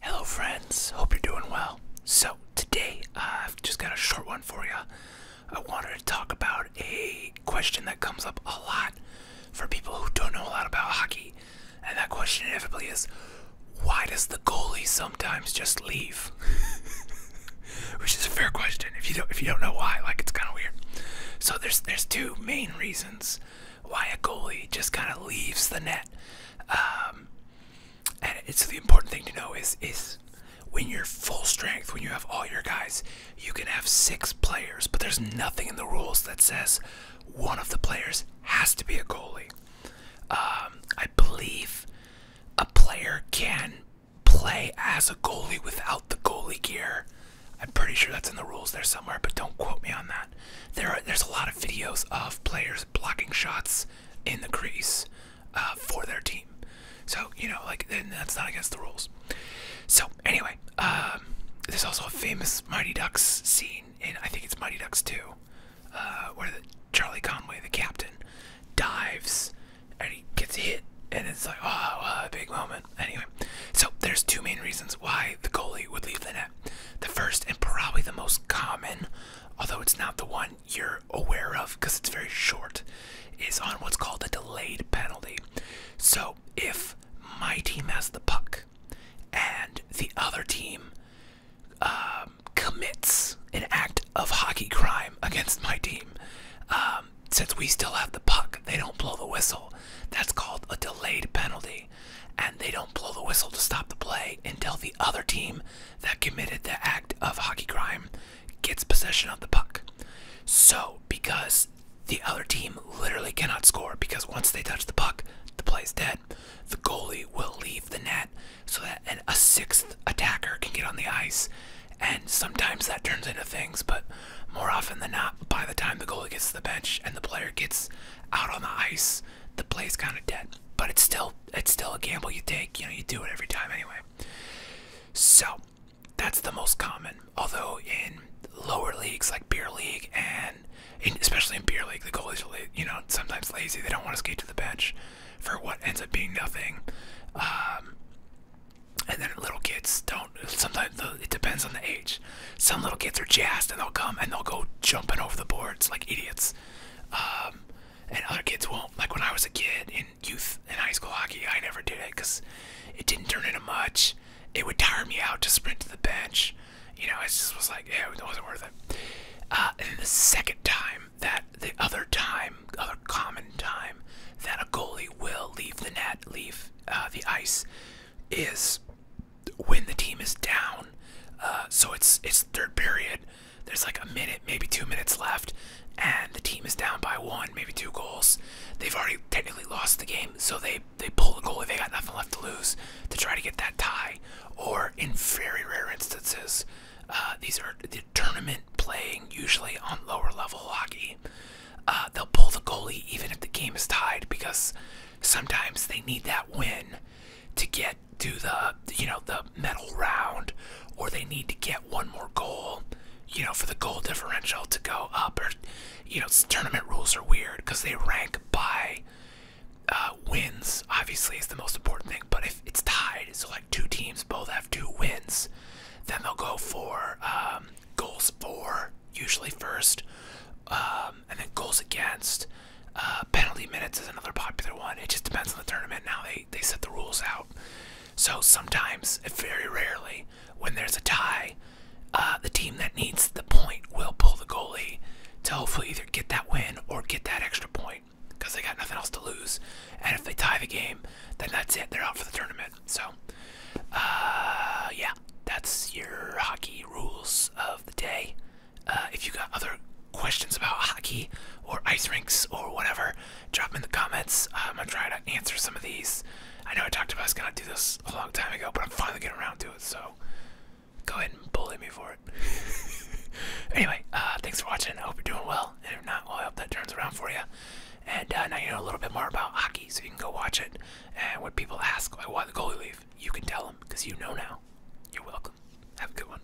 Hello, friends. Hope you're doing well. So, today I've just got a short one for you. I wanted to talk about a question that comes up a lot for people who don't know a lot about hockey. And that question inevitably is why does the goalie sometimes just leave? Which is a fair question if you don't if you don't know why, like it's kind of weird. So there's there's two main reasons why a goalie just kind of leaves the net. Um, and it's the important thing to know is is when you're full strength, when you have all your guys, you can have six players, but there's nothing in the rules that says one of the players has to be a goalie. Um, I believe a player can play as a goalie without the goalie gear I'm pretty sure that's in the rules there somewhere, but don't quote me on that. There there's a lot of videos of players blocking shots in the crease uh, for their team. So you know, like that's not against the rules. So anyway, um, there's also a famous Mighty Ducks scene in I think it's Mighty Ducks 2, uh, where Charlie Conway, the captain, dives and he gets hit, and it's like, oh, oh, a big moment. Anyway, so there's two main reasons why the goalie would leave the net. The first, and probably the most common, although it's not the one you're aware of because it's very short, is on what's called a delayed penalty. So if my team has the puck and the other team um, commits an act of hockey crime against my team, uh, um, since we still have the puck, they don't blow the whistle. That's called a delayed penalty. And they don't blow the whistle to stop the play until the other team that committed the act of hockey crime gets possession of the puck. So, because the other team literally cannot score, because once they touch the puck, the play is dead, the goalie will leave the net so that a sixth attacker can get on the ice. And sometimes that turns into things, but more often than not, by the time the goalie gets to the bench and the player gets out on the ice, the play's kind of dead. But it's still it's still a gamble you take. You know, you do it every time anyway. So that's the most common. Although in lower leagues like beer league and especially in beer league, the goalies you know sometimes lazy. They don't want to skate to the bench for what ends up being nothing. Um, and then little kids don't. Sometimes it depends on the age. Some little kids are jazzed and they'll come and they'll go jumping over the boards like idiots. Um, and other kids won't. Like when I was a kid in youth and high school hockey, I never did it because it didn't turn into much. It would tire me out to sprint to the bench. You know, I just was like, yeah, it wasn't worth it. Uh, and the second time that the other time, other common time that a goalie will leave the net, leave uh, the ice, is when the team is down. Uh, so it's it's third period. There's like a minute, maybe two minutes left, and the team is down by one, maybe two goals. They've already technically lost the game, so they they pull the goalie, they got nothing left to lose to try to get that tie. Or in very rare instances, uh, these are the tournament playing usually on lower level hockey. Uh, they'll pull the goalie even if the game is tied because sometimes they need that win to get to the you know the medal round, or they need to get one more goal, you know, for the goal differential to go up or you know, tournament rules are weird because they rank by uh, wins. Obviously, is the most important thing. But if it's tied, so like two teams both have two wins, then they'll go for um, goals for usually first, um, and then goals against. Uh, penalty minutes is another popular one. It just depends on the tournament. Now they they set the rules out. So sometimes, very rarely, when there's a tie, uh, the team that needs the point will pull the goalie to hopefully either get that win or get that extra point because they got nothing else to lose. And if they tie the game, then that's it. They're out for the tournament. So, uh, yeah, that's your hockey rules of the day. Uh, if you got other questions about hockey or ice rinks or whatever, drop them in the comments. I'm gonna try to answer some of these. I know I talked about I was gonna do this a long time ago, but I'm finally getting around to it, so go ahead and bully me for it. anyway, uh, thanks for watching. I hope you're doing well, if not, well, I hope that turns around for you. And uh, now you know a little bit more about hockey, so you can go watch it. And when people ask, why the goalie leave, you can tell them, because you know now. You're welcome. Have a good one.